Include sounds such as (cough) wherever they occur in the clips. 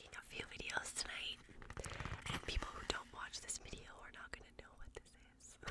I'm gonna be making a few videos tonight, and people who don't watch this video are not gonna know what this is.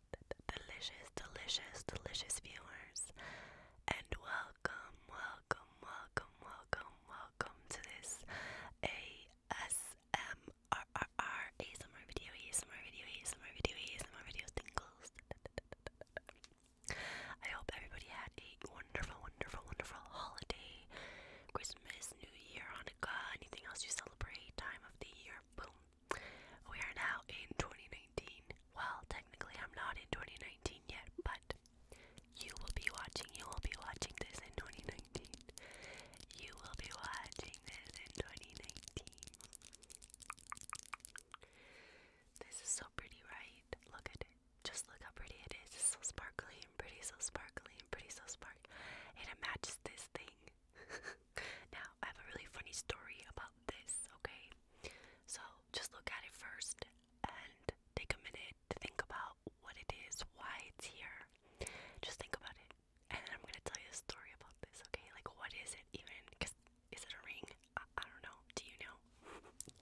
delicious, delicious, delicious viewers, and welcome, welcome, welcome, welcome, welcome to this ASMR ASMR video, ASMR video, ASMR video, ASMR video tingles. I hope everybody had a wonderful, wonderful, wonderful holiday, Christmas, New Year, Hanukkah, anything else you celebrate, time of the year, boom. We are now in 2019. Well, technically, I'm not in 2019 yet, but you will be watching. You will be watching this in 2019. You will be watching this in 2019. This is so pretty, right? Look at it. Just look how pretty it is. It's so sparkly and pretty, so sparkly and pretty, so sparkly. And it matches this thing. (laughs) now, I have a really funny story about this, okay? So, just look at it first and take a minute to think about what it is, why it's here. Just think about it. And then I'm gonna tell you a story about this, okay? Like, what is it even? Because, is it a ring? I, I don't know. Do you know? (laughs)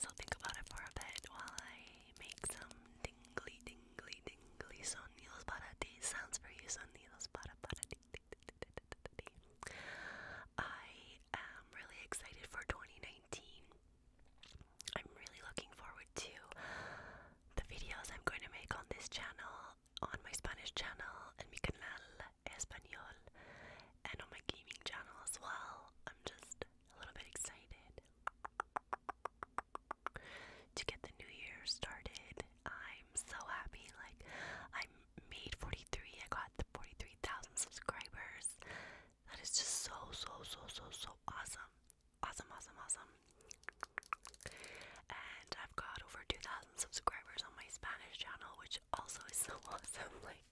so, think about it for a bit while I make some tingly, tingly, tingly sonidos para ti. Sounds for you, sonidos para para ti. I am really excited for 2019. I'm really looking forward to the videos I'm going to make on this channel, on my Spanish channel, and mi canal español, and on my gaming channel as well. I'm just a little bit excited to get the new year started I'm so happy. Like, I made 43. I got the 43,000 subscribers. That is just so, so, so, so, so awesome. Awesome, awesome, awesome. And I've got over 2,000 subscribers on my Spanish channel, which also is so (laughs) awesome. Like,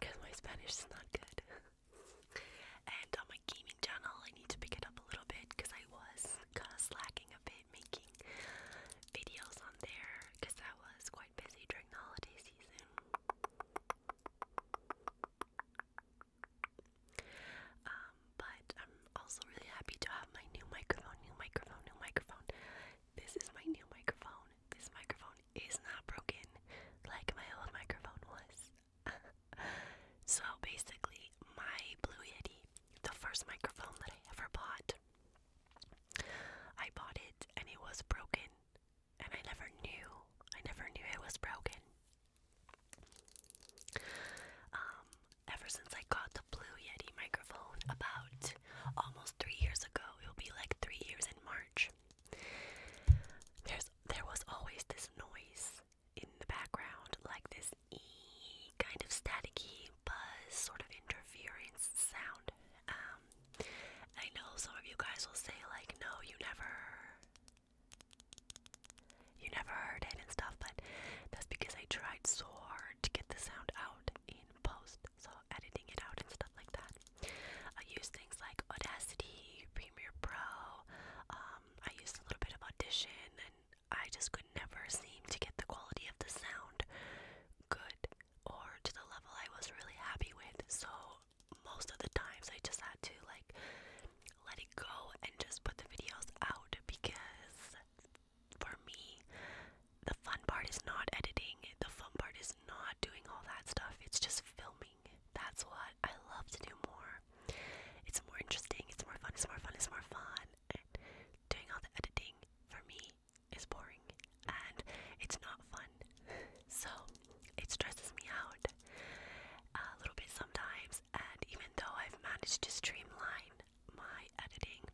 because my Spanish is not good. and on my gaming channel, I need to pick it up a little bit because I was kind of slacking a bit making videos on there because I was quite busy during the holiday season. Um, but I'm also really happy to have my new microphone, new microphone, new microphone. This is my new microphone. This microphone is not broken like my old microphone was. (laughs) so basically, my Blue Yeti the first microphone that I ever bought. I bought it and it was broken, and I never knew. I never knew it was broken. Um, ever since I got the Blue Yeti microphone about almost three years ago, it'll be like three years in March. There's there was always this noise in the background, like this kind of staticky buzz, sort of interference sound. Um, I know some of you guys will say like, no, you never, you never heard it and stuff, but that's because I tried so hard to get the sound out in post, so editing it out and stuff like that. I use things like Audacity, Premiere Pro. Um, I used a little bit of Audition and I just could never seem to get the quality of the sound good or to the level I was really happy with. So most of the times I just had to like let it go and just put the videos out because for me the fun part is not editing. The fun part is not doing all that stuff. It's just filming. That's what I love to do more. It's more interesting. It's more fun. It's more fun. It's more fun. And doing all the editing for me is boring and it's not fun. (laughs) So it stresses me out a little bit sometimes. And even though I've managed to streamline my editing,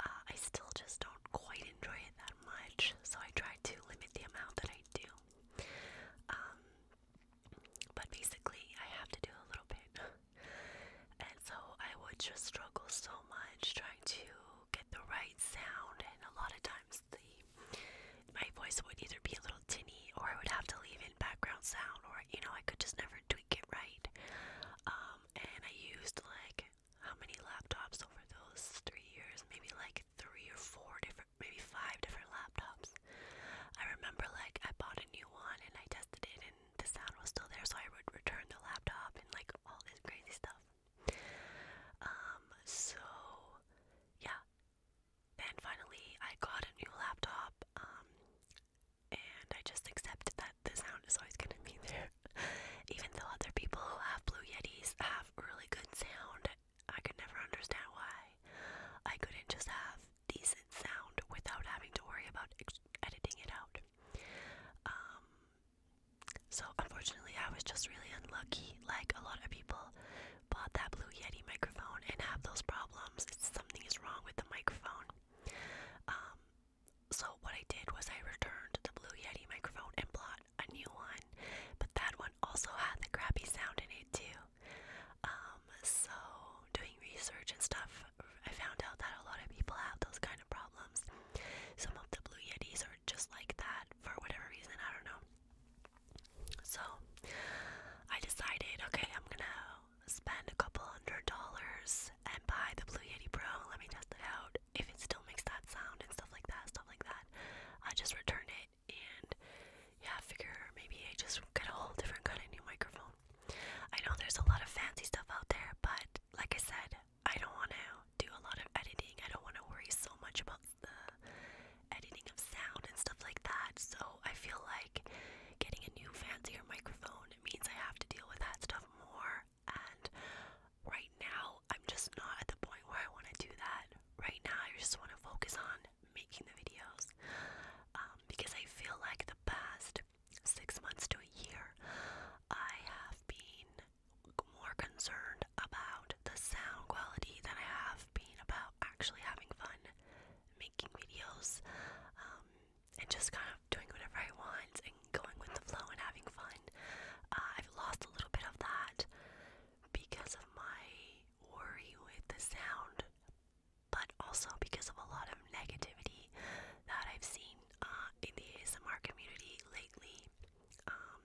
uh, I still just don't quite enjoy it that much. So I try to limit the amount that I do. Um, but basically, I have to do a little bit. (laughs) And so I would just struggle so much trying to get the right sound, and a lot of times the my voice would either be a little tinny, or I would have to leave in background sound, or you know I could just never tweak it right. Um, and I used like how many laptops over those three years? Maybe like three or four different, maybe five different laptops. I remember like I bought a new one and I tested it, and the sound was still there, so I would return the laptop and like all this crazy stuff. Um, so yeah. Then finally, I got a new laptop, um, and I just accepted that the sound is always gonna be (laughs) there. Even though other people who have Blue Yetis have really good sound, I could never understand why I couldn't just have decent sound without having to worry about editing it out. Um, so unfortunately, I was just really unlucky. Like a lot of people bought that Blue Yeti microphone and have those problems. something is wrong with the microphone. Um, so what I did was I returned the Blue Yeti microphone and bought a new one, but that one also had the crappy sound in it too. Um, so doing research and stuff, I found out that a lot of people have those kind kind of problems. Some of the Blue Yetis are just like that for whatever reason, I don't know. So I decided, okay, I'm gonna spend a couple hundred dollars and buy the Blue Yeti Pro. Let me test it out. If it still makes that sound and stuff like that, stuff like that, I just returned it and yeah, I figure maybe I just get a whole different kind of new microphone. I know there's a lot of fancy stuff out there, but like I said, I don't want to do a lot of editing. I don't want to worry so much about the editing of sound and stuff like that. So I feel like getting a new fancier microphone means I have to deal with that stuff more. And right now, I'm just not at the point where I want to do that. Right now, I just want to focus on making the videos um, because I feel like the past six months to a year, I have been more concerned about the sound quality than I have been about actually having fun making videos um, and just kind of doing whatever I want and going with the flow and having fun. Uh, I've lost a little bit of that because of my worry with the sound, but also because of a lot of negativity that I've seen uh, in the ASMR community lately, um,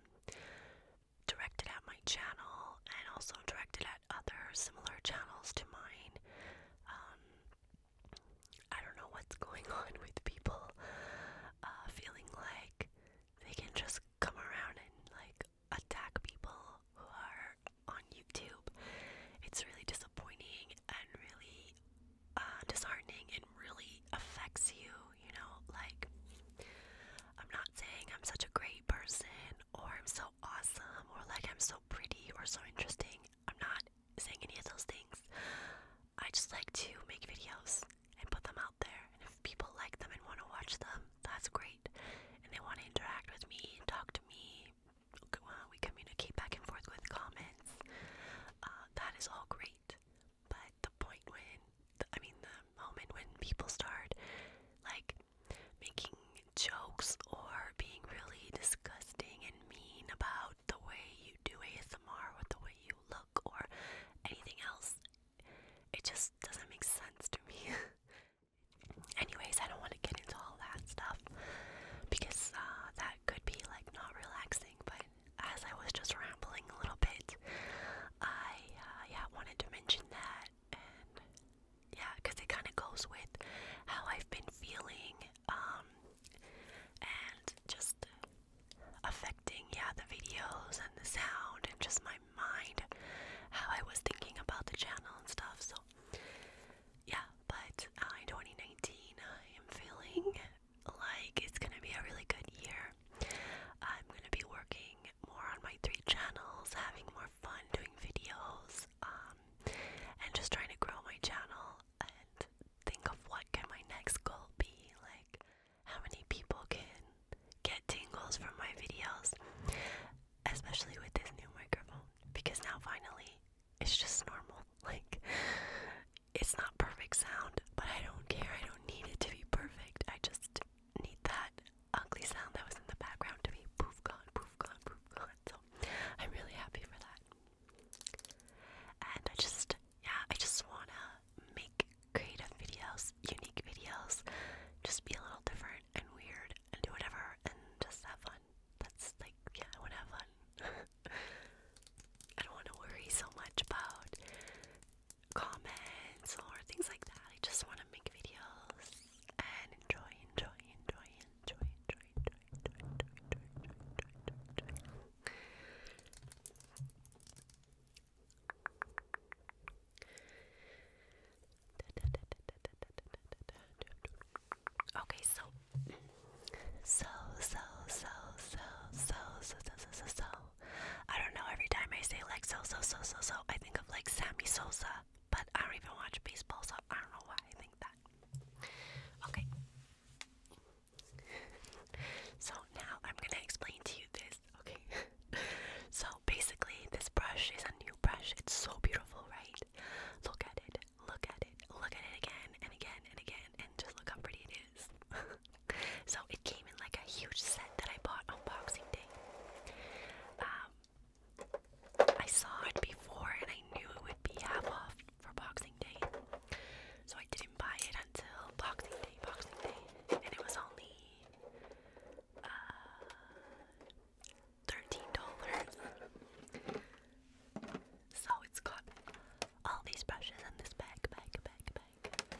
directed at my channel and also directed at other similar channels to mine. Um, I don't know what's going on (laughs) with people uh, feeling like they can just come around and like attack people who are on YouTube. It's really disappointing and really uh, disheartening and really affects you, you know, like I'm not saying I'm such a great person or I'm so awesome or like I'm so pretty or so interesting. I'm not saying any of those things. I just like to make videos and put them out there. And if people like them and want to watch them, that's great. And they want to interact with me, talk to me. We communicate back and forth with comments. Um, that is all great. But the point when, I mean, the moment when people start like making jokes or being really disgusting and mean about the way you do ASMR or the way you look or anything else, it just doesn't make sense to me. (laughs) Anyways, I don't want to get into all that stuff because uh, that could be like not relaxing, but as I was just rambling a little bit, I uh, yeah wanted to mention that, and yeah, because it kind of goes with how I've been feeling, um, and just affecting yeah the videos and the sound and just my mind, how I was thinking about the channel and stuff. So yeah, but uh, in 2019, I am feeling like it's gonna be a really good year. I'm gonna be working more on my three channels, having more fun doing videos, um, and just trying to grow my channel and think of what can my next goal be, like how many people can get tingles from my videos, especially with this new microphone, because now finally it's just normal. (laughs) Like it's not perfect sound, but I don't care. I don't need it to be perfect. I just need that ugly sound that was in the background to be poof gone, poof gone, poof gone. So I'm really happy for that. And I just, yeah, I just wanna make creative videos, unique videos, just be a little different and weird and do whatever and just have fun. That's like, yeah, I would have fun. (laughs) I don't want to worry so much about comments or things like that. I just want to make videos and enjoy, enjoy, enjoy, enjoy, enjoy, enjoy, enjoy, enjoy, enjoy, enjoy, enjoy, enjoy. Okay, so so, so, so, so, so, so, so, so, so, I don't know, every time I say like so, so, so, so, so, I think of like Sammy Sosa, but I don't even watch baseball, so I don't know why I think that. Okay. So now I'm gonna explain to you this, okay? so basically, this brush is a new brush. It's so beautiful, right? Look at it, look at it, look at it again and again and again, and just look how pretty it (laughs) so it came in like a huge set that I bought on Boxing Day. Um, I saw it before and I knew it would be half off for Boxing Day. So I didn't buy it until Boxing Day, Boxing Day. And it was only uh, $13. So it's got all these brushes in this bag, bag, bag, bag.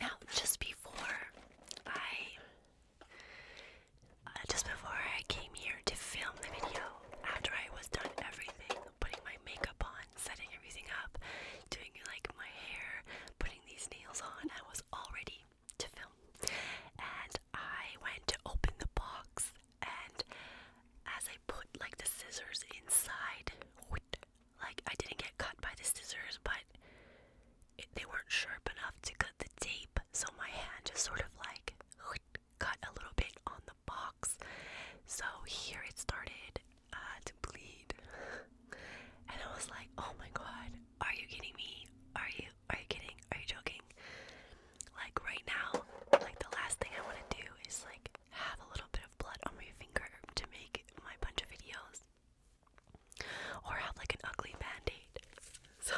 Now, just before I, uh, just before I came here to film the video, after I was done everything, putting my makeup on, setting everything up, doing like my hair, putting these nails on, I was already to film. And I went to open the box, and as I put like the scissors inside, like I didn't get cut by the scissors, but they weren't sharp enough to cut the tape, so my hand just sort of like cut a little bit on the box. So here it started uh, to bleed, (laughs) and I was like, "Oh my god, are you kidding me? Are you are you kidding? Are you joking? Like right now, like the last thing I want to do is like have a little bit of blood on my finger to make my bunch of videos. Or have like an ugly band-aid. (laughs) So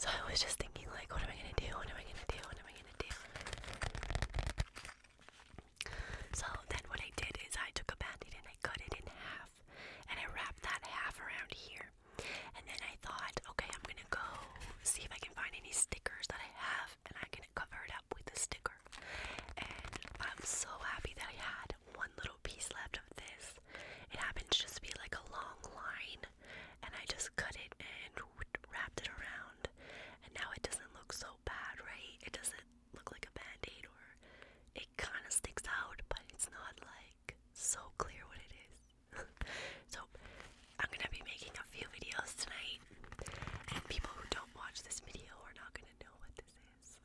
So I was just thinking like what am I gonna do? What am I gonna do? What am I gonna do? So then what I did is I took a band-aid and I cut it in half and I wrapped that half around here and then I thought, okay, I'm gonna go see if I can find any stickers that I have and I can cover it up with a sticker. And I'm so happy that I had one little piece left of this. It happened to just be like a long line and I just cut it and wrapped it around. And now it doesn't look so bad, right? It doesn't look like a band aid or it kind of sticks out, but it's not like so clear what it is. (laughs) so I'm gonna be making a few videos tonight, and people who don't watch this video are not gonna know what this is.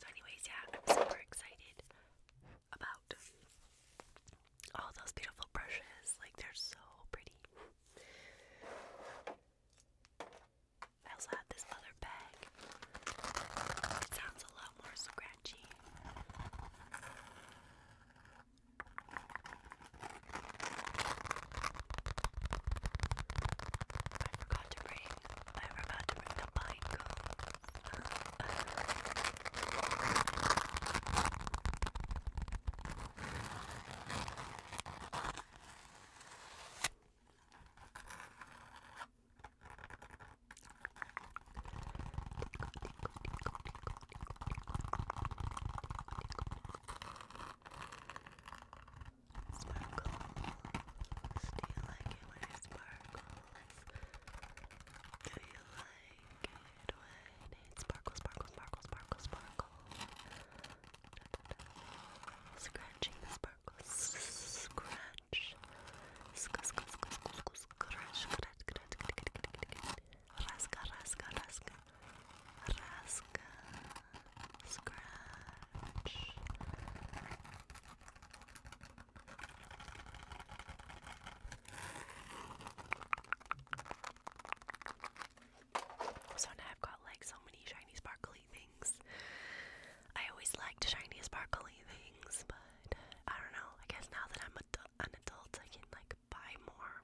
So anyways, yeah, I'm super excited about all those beautiful brushes. Like, they're so pretty. I also have this other bag. It sounds a lot more scratchy. I forgot to bring I forgot to bring the pine Sparkle. Do you like it when I sparkle? flawless. Do you like it when it sparkles, sparkle, sparkle, sparkle, sparkle? Da, da, da. Scratching the sparkles. Scratch. Scratch, scratch, scratch, scratch, scratch. Raska, raska, raska. Raska. Scratch. So now I've got like so many shiny sparkly things. I always liked shiny sparkly things, but I don't know. I guess now that I'm an adult, I can like buy more.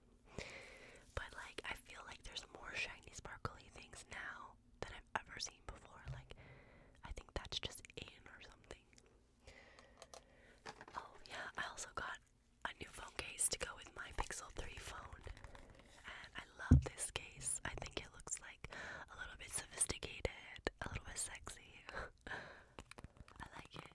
But like, I feel like there's more shiny sparkly things now than I've ever seen before. Like, I think that's just in or something. Oh, yeah, I also got a new phone case to go with my Pixel 3 phone. And I love this case. I think it looks like a little bit sophisticated, a little bit sexy. (laughs) I like it.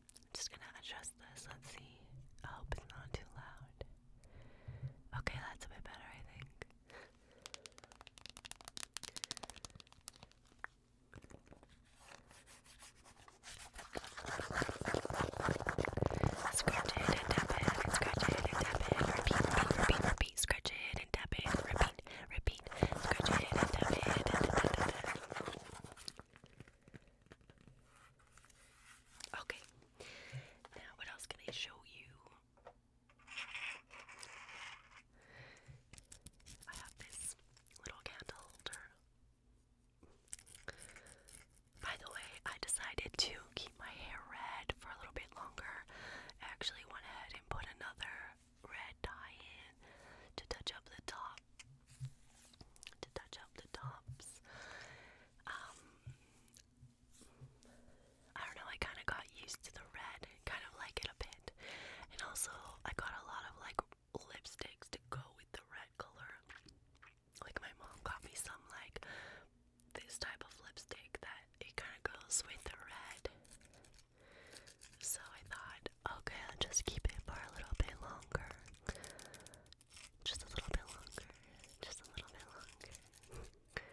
I'm just gonna adjust this. Let's see. I hope it's not too loud. Okay, that's a bit better, I think. Scratch it and tap it, scratch it and tap it, repeat, repeat, repeat, scratch it and tap it, repeat, repeat, scratch it, and tap it. Okay. Now, what else can I show you? I have this little candle holder. By the way, I decided to keep my hair red for a little bit longer. I actually went ahead and put another red dye in to touch up the top. To touch up the tops. Um, I don't know, I kind of got used to the red, kind of like it a bit. And also, I got a lot of like lipsticks to go with the red color. Like, my mom got me some, like, this type of lipstick that it kind of goes with the red. So I thought, okay, I'll just keep it for a little bit longer. Just a little bit longer. Just a little bit longer. (laughs)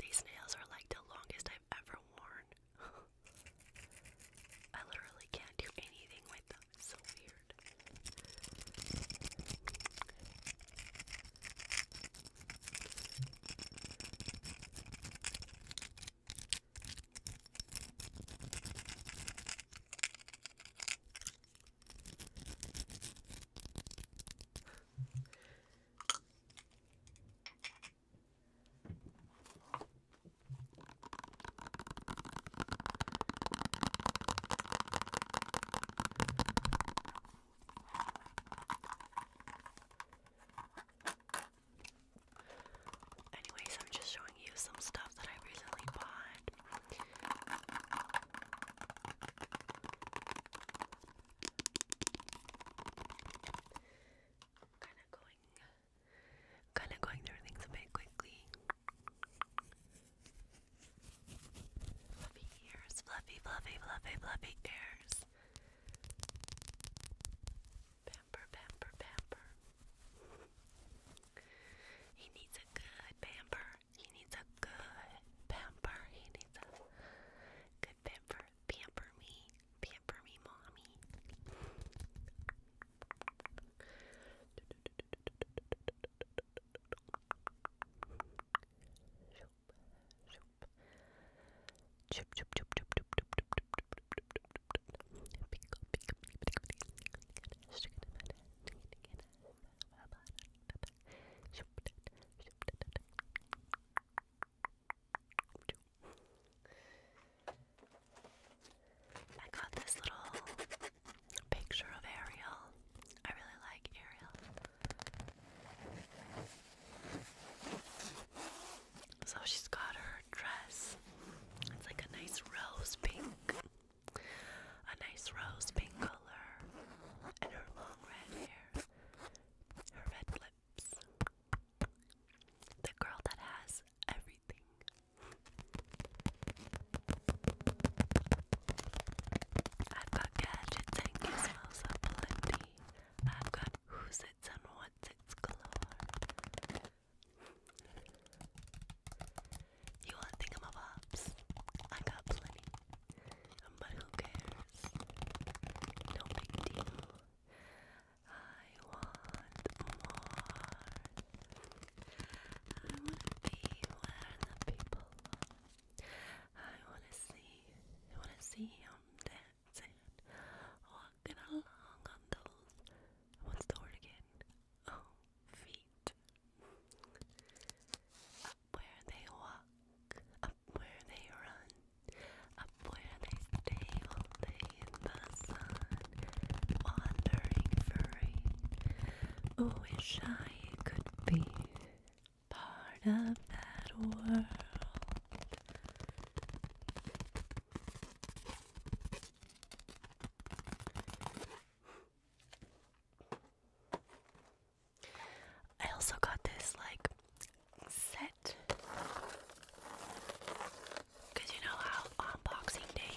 These nails are like the longest I've ever worn. (laughs) I literally can't do anything with them. so weird. Anyways, I'm just showing you some stuff that I recently bought kind of going kind of going through things a bit quickly. Fluffy ears, fluffy, fluffy, fluffy, fluffy ears. Pamper, pamper, pamper. He needs a good pamper. He needs a good pamper. He needs a good pamper. Pamper me. Pamper me, mommy. I got this little picture of Ariel. I really like Ariel. So she's got her dress. It's like a nice rose pink a nice rose pink color, and her long red hair, her red lips. The girl that has everything. I've got gadgets and gizmos aplenty. I've got who's its and what's its galore. You want thingamabobs? I got plenty. But who cares? No big deal. I want more. I want to be where the people are. I want to see. I want to see them dancing, walking along on those. What's the word again? oh feet. Up where they walk, up where they run, up where they stay all day in the sun, wandering furry. wish I could be part of that world. I also got this like set because you know how on Boxing Day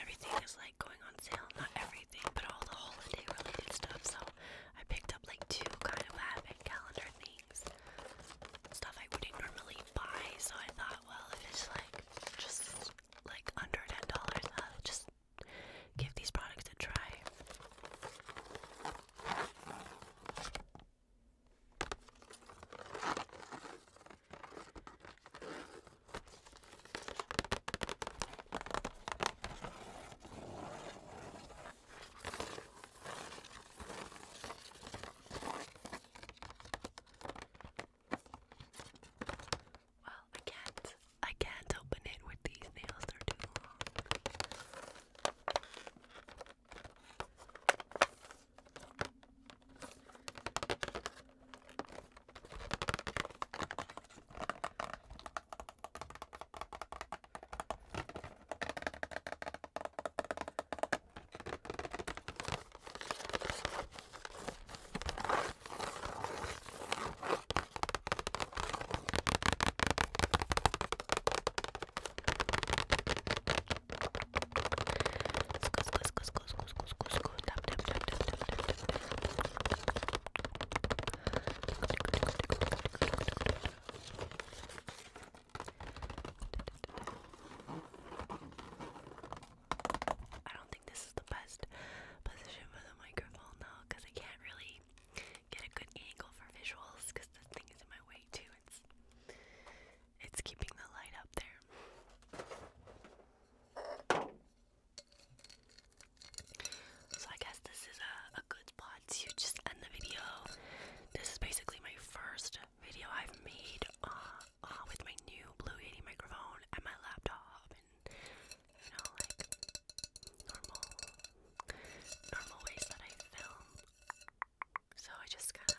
everything is like going on sale. Not everything, but all the holiday related stuff. So I picked up like two kind of advent calendar things, stuff I wouldn't normally buy. So I thought, well, if it's like just like under ten dollars, just give these products a try. Well, I can't. I can't open it with these nails. They're too long. I don't think this is the best position for the microphone though, because I can't really get a good angle for visuals because this thing is in my way too. It's it's keeping the light up there. So I guess this is a, a good spot to just end the video. This is basically my first video I've made uh, uh, with my new Blue Yeti microphone and my laptop you know, like normal normal ways that I film. So I just kinda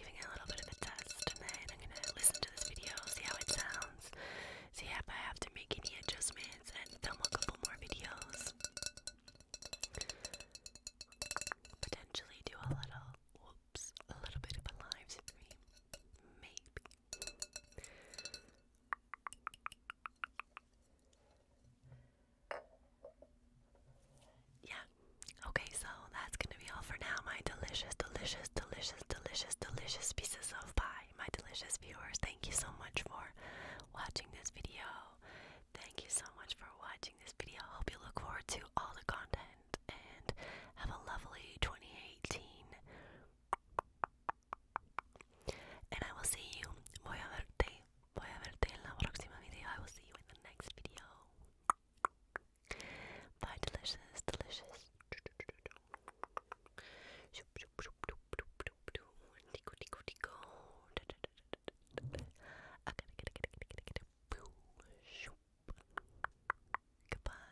giving a little bit of a test and then I'm gonna listen to this video, see how it sounds, see if I have to make any adjustments and film a couple more videos. Potentially do a little whoops, a little bit of a live stream. Maybe. Yeah. Okay, so that's going to be all for now, my delicious, delicious, delicious, delicious, delicious pieces of pie. My delicious viewers, thank you so much for watching this video. Thank you so much for watching this video. I Hope you look forward to all the content and have a lovely 2018. And I will see you. Voy a verte. Voy a verte en la próxima video. I will see you in the next video. Bye, delicious, delicious. Tico, tico, tico. Goodbye.